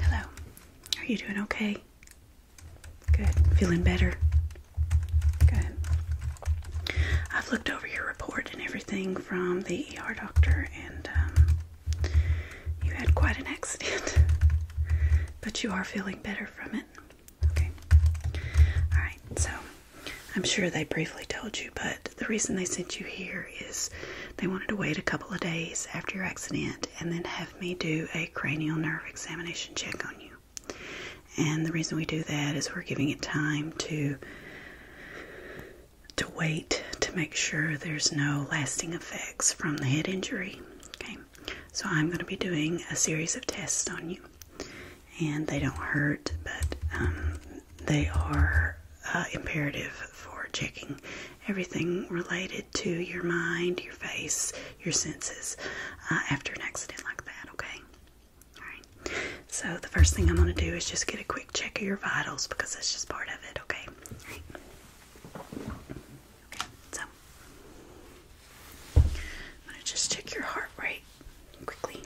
Hello. Are you doing okay? Good. Feeling better? Good. I've looked over your report and everything from the ER doctor, and um, you had quite an accident, but you are feeling better from it. Okay. All right. So I'm sure they briefly told you, but the reason they sent you here is they wanted to wait a couple of days after your accident and then have me do a cranial nerve examination check on you. And the reason we do that is we're giving it time to to wait to make sure there's no lasting effects from the head injury. Okay. So I'm going to be doing a series of tests on you. And they don't hurt, but um, they are uh, imperative for checking everything related to your mind, your face, your senses uh, after an accident like that, okay? Alright, so the first thing I'm going to do is just get a quick check of your vitals because that's just part of it, okay? All right. Okay, so I'm going to just check your heart rate quickly.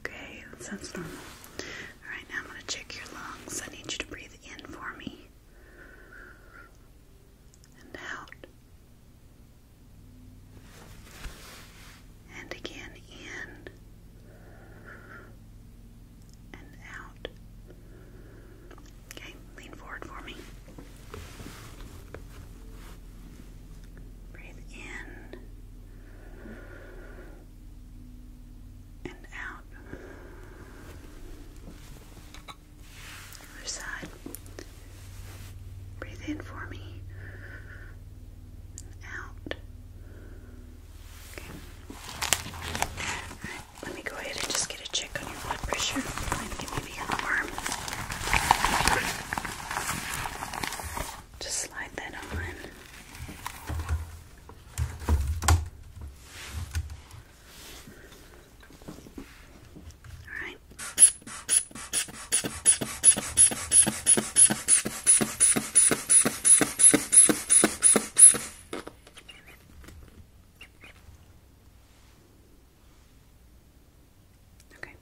Okay, that normal. Alright, now I'm going to check your lungs. I need you to breathe in for me and out. And again in and out. Okay, lean forward for me. Breathe in and out. Other side. Breathe in for me. Out. Okay. Let me go ahead and just get a check on your blood pressure. And maybe your arm. Just slide that on. Alright. Okay.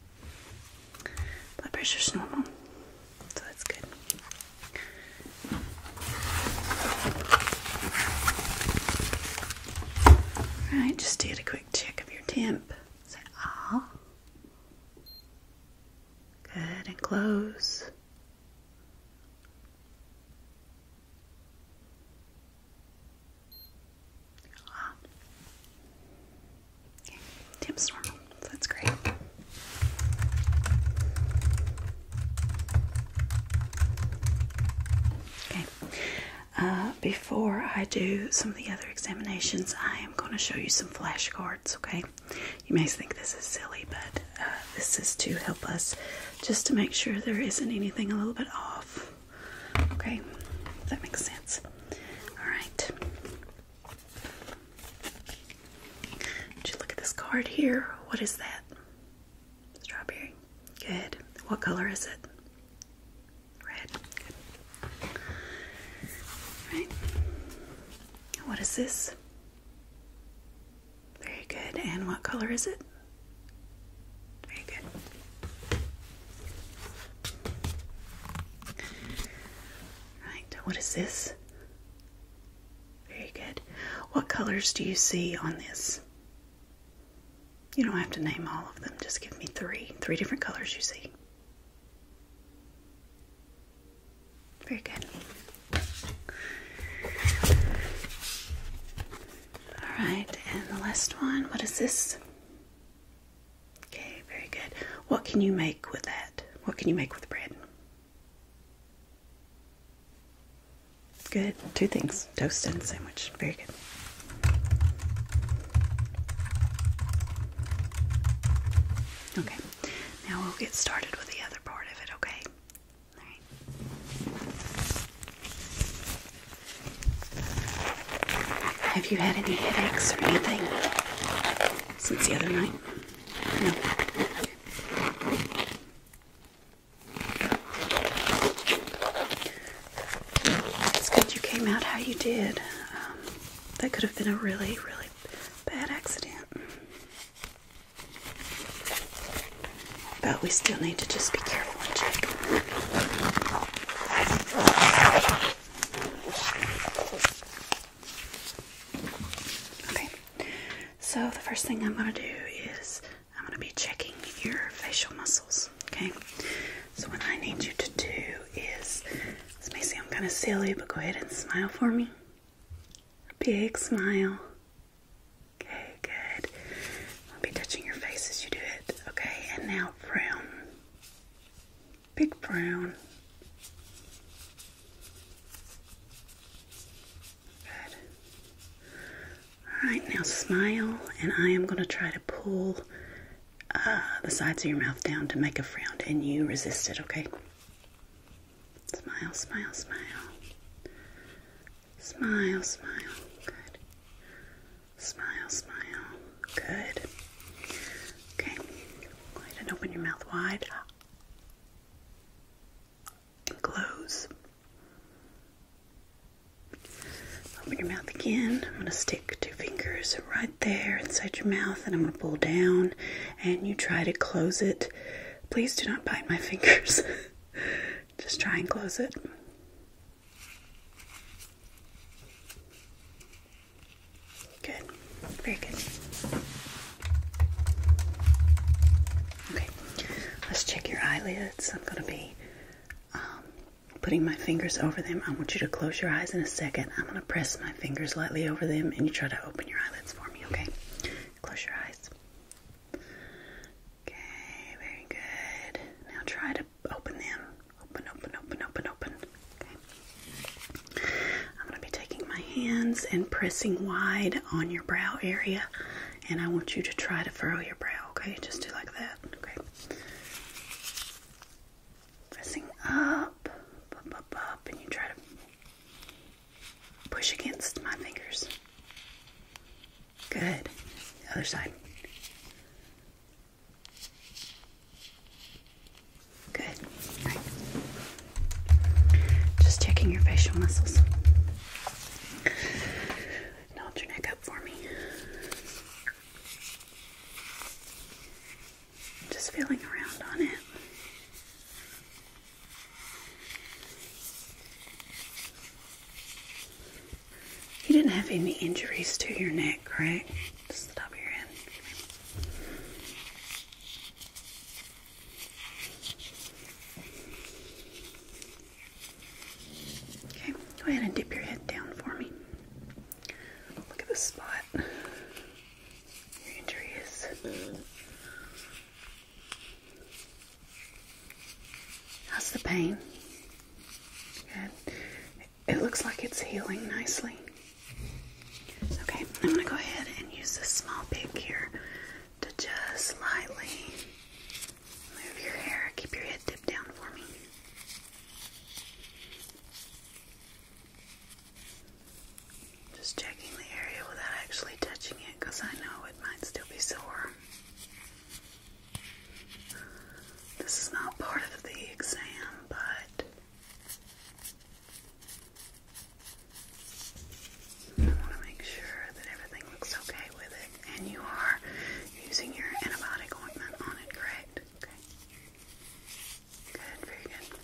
Blood pressure's normal, so that's good. Alright, just did a quick check of your temp. Say ah. Good and close. Ah. Okay. That's great. Okay. Uh, before I do some of the other examinations, I am going to show you some flashcards, okay? You may think this is silly, but uh, this is to help us just to make sure there isn't anything a little bit off. Okay, that makes sense. All right. Did you look at this card here? What is that? Strawberry. Good. What color is it? Red. Good. What is this? Very good. And what color is it? Very good. Right. What is this? Very good. What colors do you see on this? You don't have to name all of them. Just give me three. Three different colors you see. Very good. All right, and the last one, what is this? Okay, very good. What can you make with that? What can you make with bread? Good. Two things toast and sandwich. Very good. Okay, now we'll get started with the other part of it, okay? Have you had any headaches or anything since the other night? No. It's good you came out how you did. Um, that could have been a really, really bad accident. But we still need to just be careful and check. Okay, so the first thing I'm going to do is I'm going to be checking your facial muscles. Okay, so what I need you to do is this may seem kind of silly, but go ahead and smile for me. big smile. Okay, good. I'll be touching your face as you do it. Okay, and now brown. Big brown. Good. Alright, now smile, and I am going to try to pull uh, the sides of your mouth down to make a frown, and you resist it, okay? Smile, smile, smile. Smile, smile. Good. Smile, smile. Good. Okay. Go ahead and open your mouth wide. And close. Open your mouth again. I'm going to stick two fingers right there inside your mouth and I'm going to pull down and you try to close it Please do not bite my fingers. Just try and close it. Good. Very good. Okay. Let's check your eyelids. I'm going to be um, putting my fingers over them. I want you to close your eyes in a second. I'm going to press my fingers lightly over them and you try to open your eyelids for me, okay? Close your eyes. Okay, very good. Now try to open them. Open, open, open, open, open. Okay. I'm going to be taking my hands and pressing wide on your brow area, and I want you to try to furrow your brow, okay? Just do like that, okay? Pressing up, up, up, up, and you try to Push against my fingers. Good. The other side. Good. Just checking your facial muscles. Nod your neck up for me. Just feeling around on it. You didn't have any injuries to your neck, right? Just the top of your head. Okay, go ahead and dip your head down for me. Look at the spot. Your injury How's the pain? Good. It looks like it's healing nicely. Okay, I'm going to go ahead and use this small pick here to just lightly move your hair. Keep your head dipped down for me. Just checking the area without actually touching it because I know it might still be sore. This is not part of the exam, but I want to make sure that everything looks okay with it. And you are using your antibiotic ointment on it, correct? Okay. Good, very good.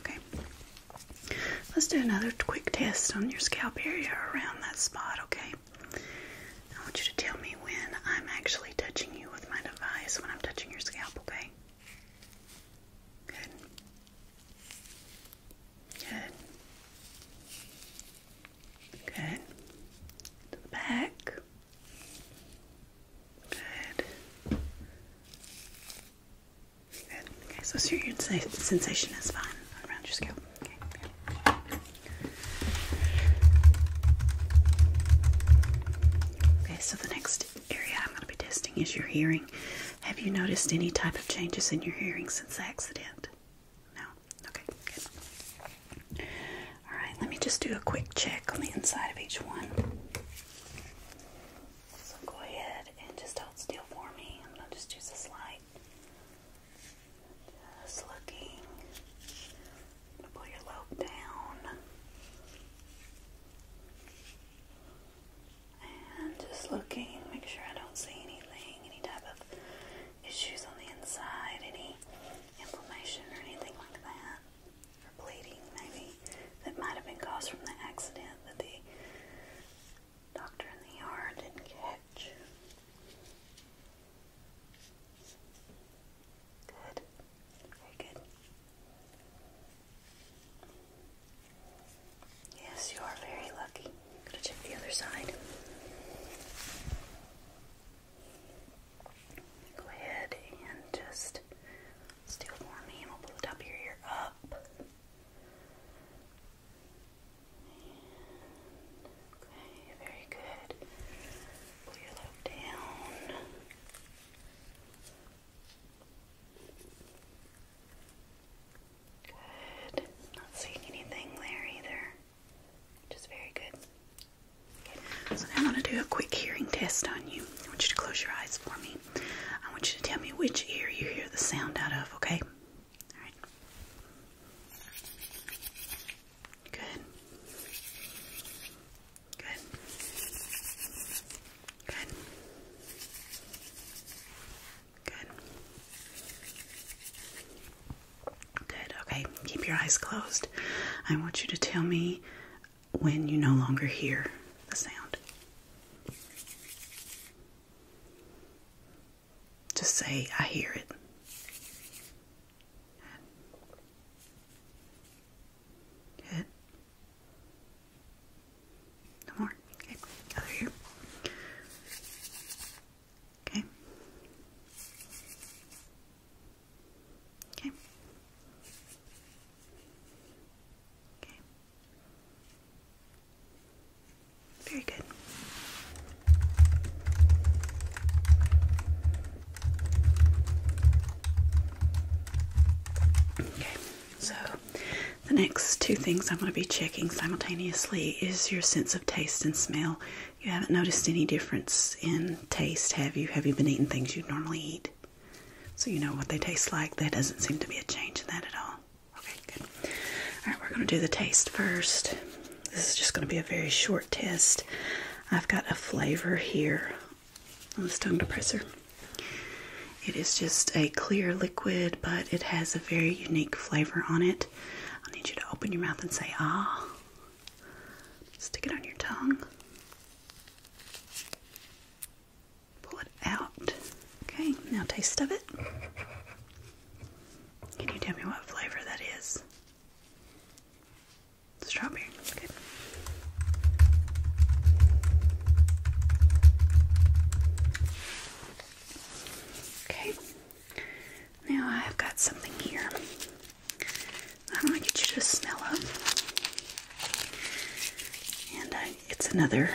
Okay. Let's do another quick test on your scalp area around that spot, okay? I want you to tell me when I'm actually touching you with my device, when I'm touching your scalp, okay? Good. Good. Good. To the back. Good. Good. Okay, so your sensation is fine around your scalp. Okay. Okay, so the next area I'm going to be testing is your hearing. Have you noticed any type of changes in your hearing since the accident? No? Okay, good. Alright, let me just do a quick check on the inside of each one. So go ahead and just hold still for me. I'm just use this light. Just looking. pull your lobe down. And just looking, make sure I don't see anything, any type of issues on the inside, any inflammation or anything like that, or bleeding maybe, that might have been caused from the accident that the doctor in the yard didn't catch. Good. Very good. Yes, you are very lucky. gonna check the other side. Go ahead and just stay for me and will pull the top of your ear up. okay, very good. Pull your lobe down. Good. Not seeing anything there either. Which very good. So now I want to do a quick hearing test on you. I want you to close your eyes for me. I want you to tell me which ear you hear the sound out of, okay? All right. Good. Good. Good. Good. Good. Okay. Keep your eyes closed. I want you to tell me when you no longer hear the sound. Just say, I hear it. Good. Good. No more. Okay. Okay. Okay. Okay. Very good. Okay, so the next two things I'm going to be checking simultaneously is your sense of taste and smell. You haven't noticed any difference in taste, have you? Have you been eating things you normally eat? So you know what they taste like. There doesn't seem to be a change in that at all. Okay, good. All right, we're going to do the taste first. This is just going to be a very short test. I've got a flavor here on this tongue depressor. It is just a clear liquid, but it has a very unique flavor on it. I need you to open your mouth and say, ah. Stick it on your tongue. Pull it out. Okay, now taste of it. Can you tell me what flavor that is? Strawberry. Good. Okay. Now I've got something here. I am going to get you to smell it, And uh, it's another,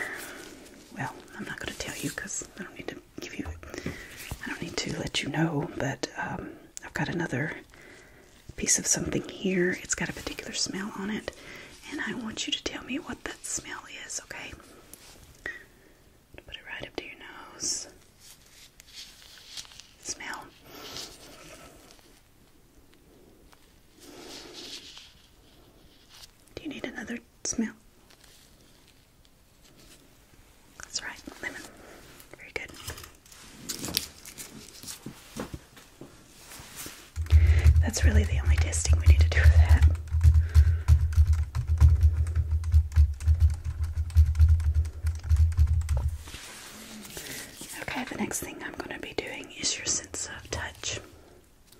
well, I'm not going to tell you because I don't need to give you, I don't need to let you know, but um, I've got another piece of something here. It's got a particular smell on it. And I want you to tell me what that smell is, okay? Put it right up to your nose. Smell. Do you need another smell? That's right, Very good. That's really the only testing we need to do for that. Okay, the next thing I'm going to be doing is your sense of touch.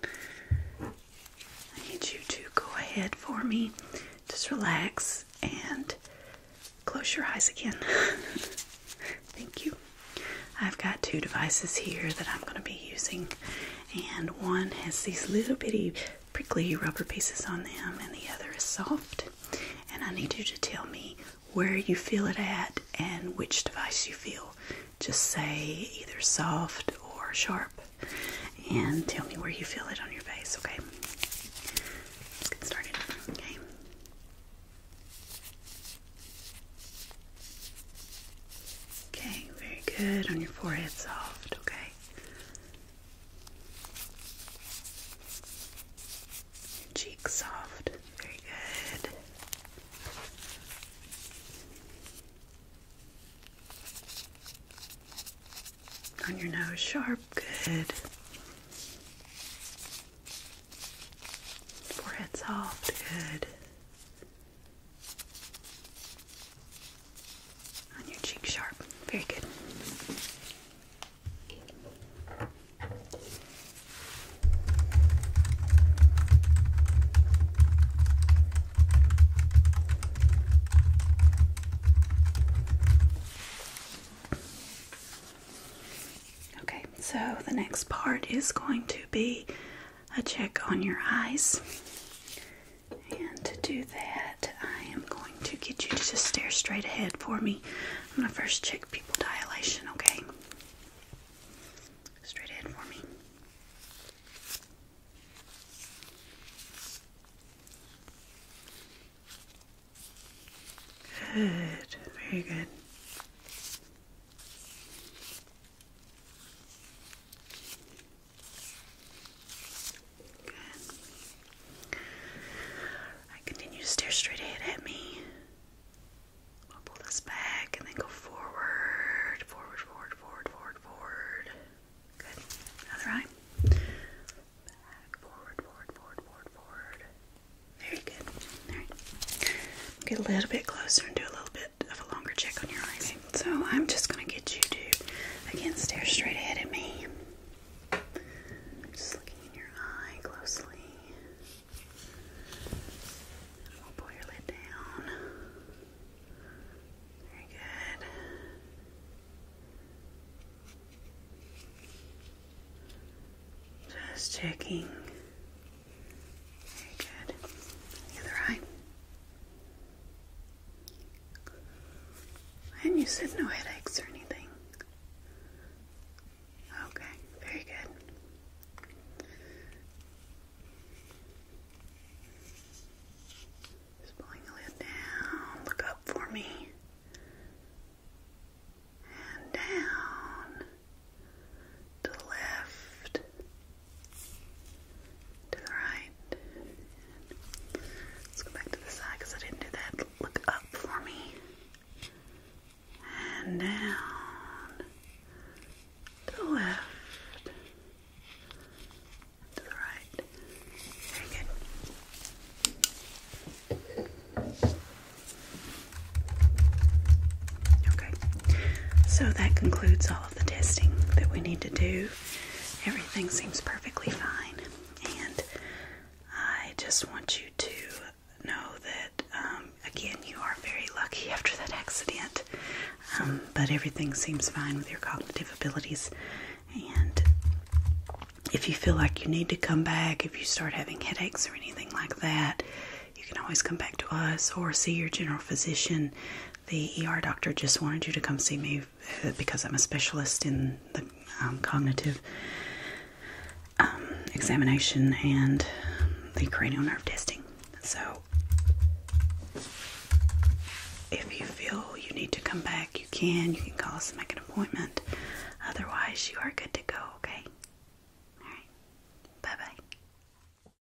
I need you to go ahead for me, just relax and close your eyes again. Thank you. I've got two devices here that I'm going to be using, and one has these little bitty prickly rubber pieces on them, and the other is soft. And I need you to tell me where you feel it at and which device you feel. Just say either soft or sharp, and tell me where you feel it on your face, okay? Let's get started, okay? Okay, very good. On your forehead, soft, okay? cheek soft, very good. On your nose, sharp, good. Forehead soft, good. On your cheek sharp. Very good. Okay, so the next part is going to be a check on your eyes. And to do that, I am going to get you to just stare straight ahead for me. I'm going to first check pupil dilation, okay? Straight ahead for me. Good, very good. I continue to stare straight ahead at me. I'll pull this back and then go forward, forward, forward, forward, forward, Good. Other eye. forward, forward, forward, forward, forward. Very good. All right. Get a little bit closer and do a little bit so I'm just gonna get you to again stare straight ahead at me. Just looking in your eye closely. we'll oh, pull your down. Very good. Just checking. Very good. The other eye. And you said no headaches or anything. Okay, very good. Just pulling the lid down. Look up for me. And down. To the left. To the right. let's go back to the side because I didn't do that. Look up for me. And down. To the left. To the right. Okay. So that concludes all all of the testing that we need to do. Everything seems perfectly fine, and I just want you to know that um, again you are very lucky after that accident. Um, but everything seems fine with your cognitive abilities, and if you feel like you need to come back, if you start having headaches or anything like that, you can always come back to us or see your general physician the ER doctor just wanted you to come see me uh, because I'm a specialist in the um, cognitive um, examination and the cranial nerve testing. So, if you feel you need to come back, you can. You can call us and make an appointment. Otherwise, you are good to go, okay? Alright. Bye bye.